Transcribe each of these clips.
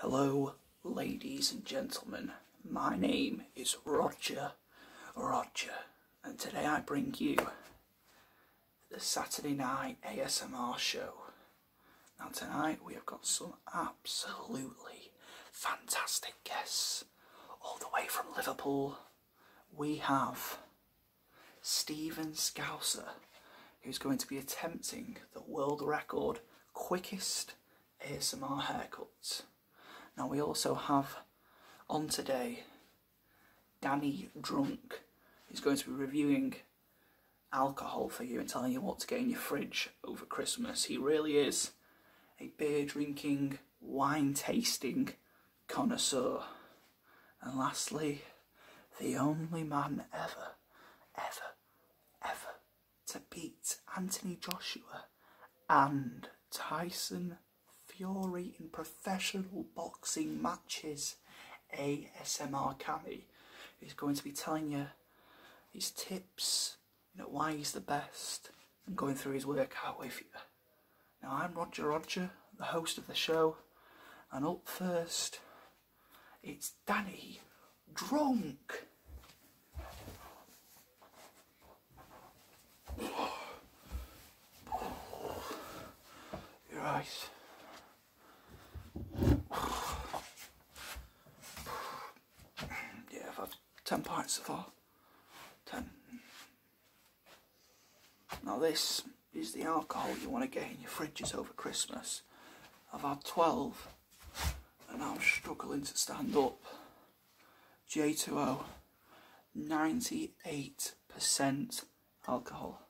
Hello, ladies and gentlemen. My name is Roger Roger, and today I bring you the Saturday Night ASMR Show. Now, tonight we have got some absolutely fantastic guests all the way from Liverpool. We have Stephen Scouser who's going to be attempting the world record quickest ASMR haircuts. Now we also have on today Danny Drunk, who's going to be reviewing alcohol for you and telling you what to get in your fridge over Christmas. He really is a beer drinking, wine tasting connoisseur. And lastly, the only man ever, ever, ever to beat Anthony Joshua and Tyson Fury in professional boxing matches, ASMR Cammy, is going to be telling you his tips, you know, why he's the best, and going through his workout with you. Now, I'm Roger Roger, the host of the show, and up first, it's Danny, drunk. Your eyes. Yeah, I've had 10 pints so far. 10. Now this is the alcohol you want to get in your fridges over Christmas. I've had 12 and I'm struggling to stand up. J2O, 98% alcohol.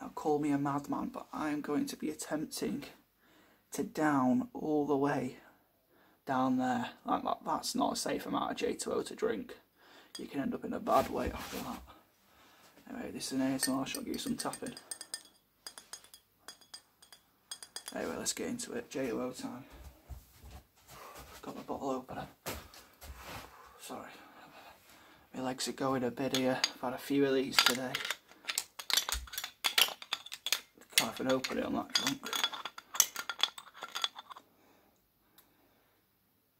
Now call me a madman, but I'm going to be attempting to down all the way down there. That, that, that's not a safe amount of J2O to drink you can end up in a bad way after that. Anyway, this is an ASMR shot, I'll give you some tapping. Anyway, let's get into it. JLO time. Got my bottle opener. Sorry. My legs are going a bit here. I've had a few of these today. Can't even open it, on that drunk.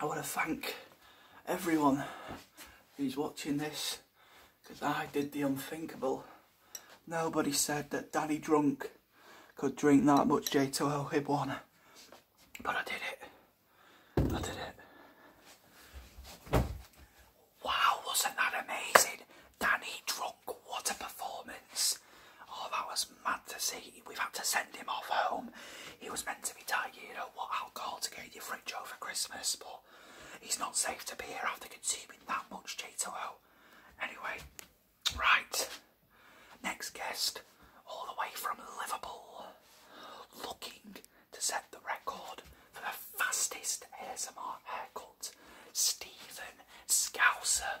I want to thank everyone who's watching this because I did the unthinkable. Nobody said that Danny Drunk could drink that much J2O Hibwana, but I did it. I did it. Wow, wasn't that amazing? Danny Drunk, what a performance. Oh, that was mad to see. We've had to send him off home. He was meant to be taking you know, what alcohol to get in your fridge over Christmas, but he's not safe to be here after consuming that much Cheeto. Anyway, right. Next guest, all the way from Liverpool, looking to set the record for the fastest ASMR haircut, Stephen Scouser.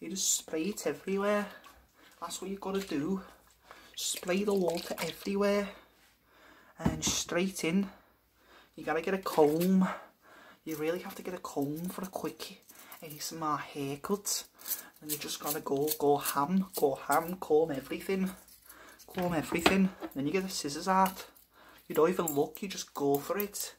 you just spray it everywhere that's what you've got to do spray the water everywhere and straight in you gotta get a comb you really have to get a comb for a quickie, quick ASMR haircut and you just gotta go go ham go ham comb everything comb everything then you get the scissors out you don't even look you just go for it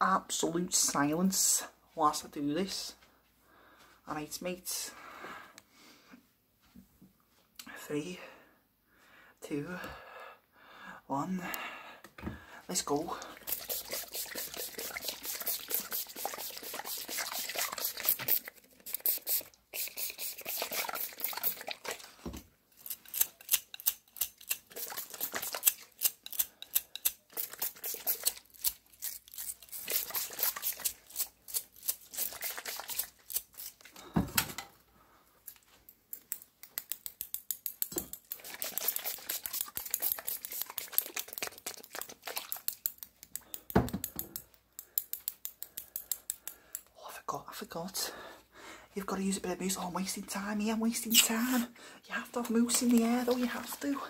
absolute silence whilst I do this. Alright mates. Three, two, one. Let's go. Oh, I forgot, I forgot. You've got to use a bit of mousse. Oh, I'm wasting time here. I'm wasting time. You have to have moose in the air, though. You have to.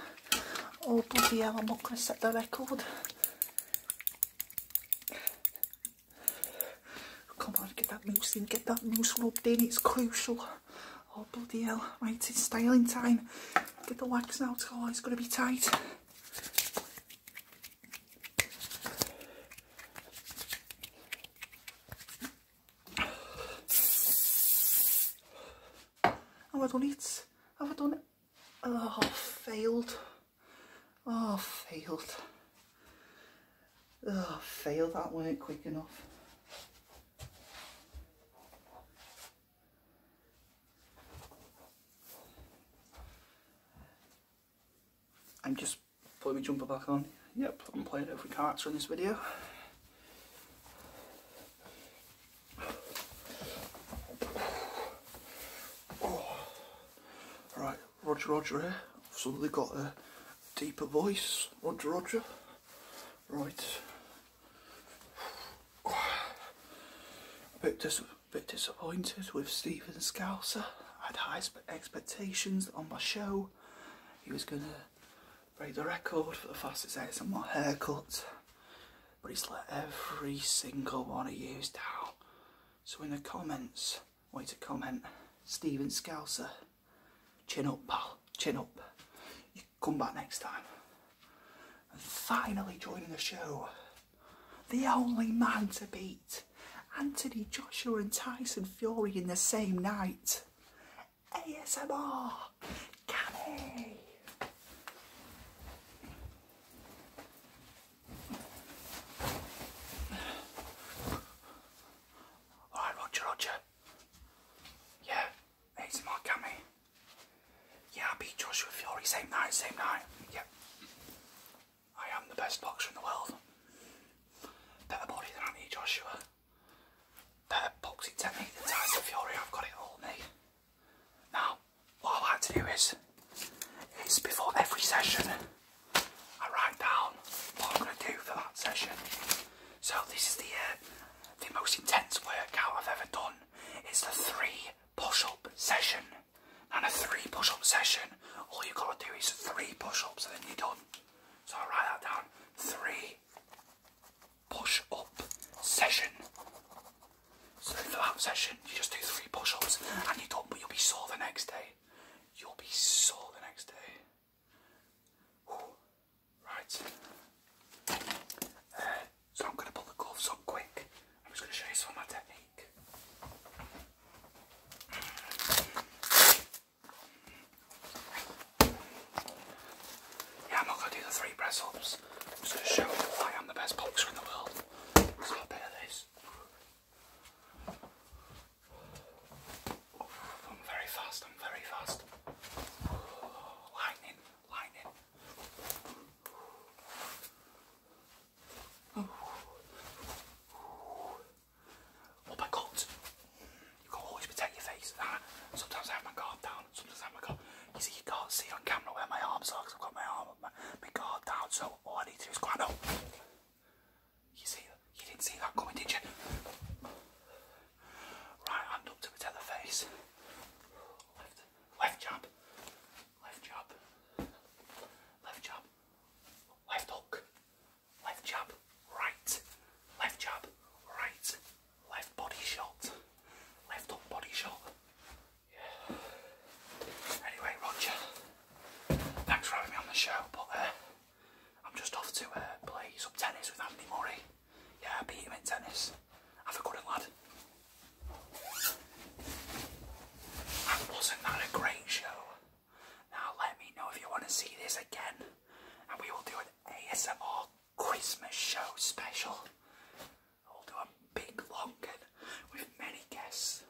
Oh, bloody hell. I'm not going to set the record. Come on, get that moose in. Get that moose rubbed in. It's crucial. Oh, bloody hell. Right, it's styling time. Get the wax out. Oh, it's going to be tight. Oh, Have I done it? i Have done it? Oh, failed. Oh, failed. Oh, failed. That weren't quick enough. I'm just Put my jumper back on. Yep, I'm playing it with character in this video. Oh. Right, Roger Roger here. suddenly got a deeper voice. Roger Roger. Right. A bit, dis bit disappointed with Stephen Scouser. I had high expectations on my show he was going to break the record for the fastest ASMR haircut, but he's let every single one he used down. So in the comments, wait to comment, Steven Scouser, chin up pal, chin up. You come back next time. And finally joining the show, the only man to beat night. Anthony Joshua and Tyson Fury in the same night. ASMR, Canny. All right, Roger, Roger. Yeah, ASMR, Cammy. Yeah, I beat Joshua Fury same night, same night. Yeah. I am the best boxer in the world. Better body than Anthony Joshua. Better boxing technique than Tyson Fury. I've got it all, me. Now, what I like to do is, is before every session, I write down what I'm going to do for that session. So this is the uh, the most intense workout I've ever done. It's the three push-up session. And a three push up session, all you gotta do is three push ups and then you're done. So I'll write that down three push up session. So for that session, you just do three push ups and you're done, but you'll be sore the next day. You'll be sore the next day. Right. Uh, so I'm going to pull the gloves on quick. I'm just going to show you some of my technique. Yeah, I'm not going to do the three press I'm just going to show you why I'm the best boxer in the world. Let's a bit this. I'm very fast, I'm very fast. Lightning, lightning. Oh my God! You can always protect your face. Ah, sometimes I have my guard down. Sometimes I have my guard. You see, you can't see on camera where my arms are because I've got my arm, my, guard down. So all I need to do is grind up. You see, you didn't see that coming, did you? Right hand up to protect the face. Left, left jab. Left job. Left job. Left hook. Left jab. Right. Left jab. Right. Left body shot. Left hook body shot. Yeah. Anyway, Roger. Thanks for having me on the show, but uh, I'm just off to uh, play some tennis with Andy Murray. Yeah, beat him in tennis. Have a good lad. Wasn't that a great show? Now let me know if you want to see this again, and we will do an ASMR Christmas show special. I'll do a big long one with many guests.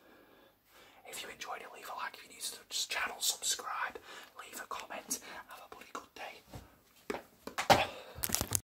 If you enjoyed it, leave a like. If you're to channel, subscribe, leave a comment. Have a bloody good day.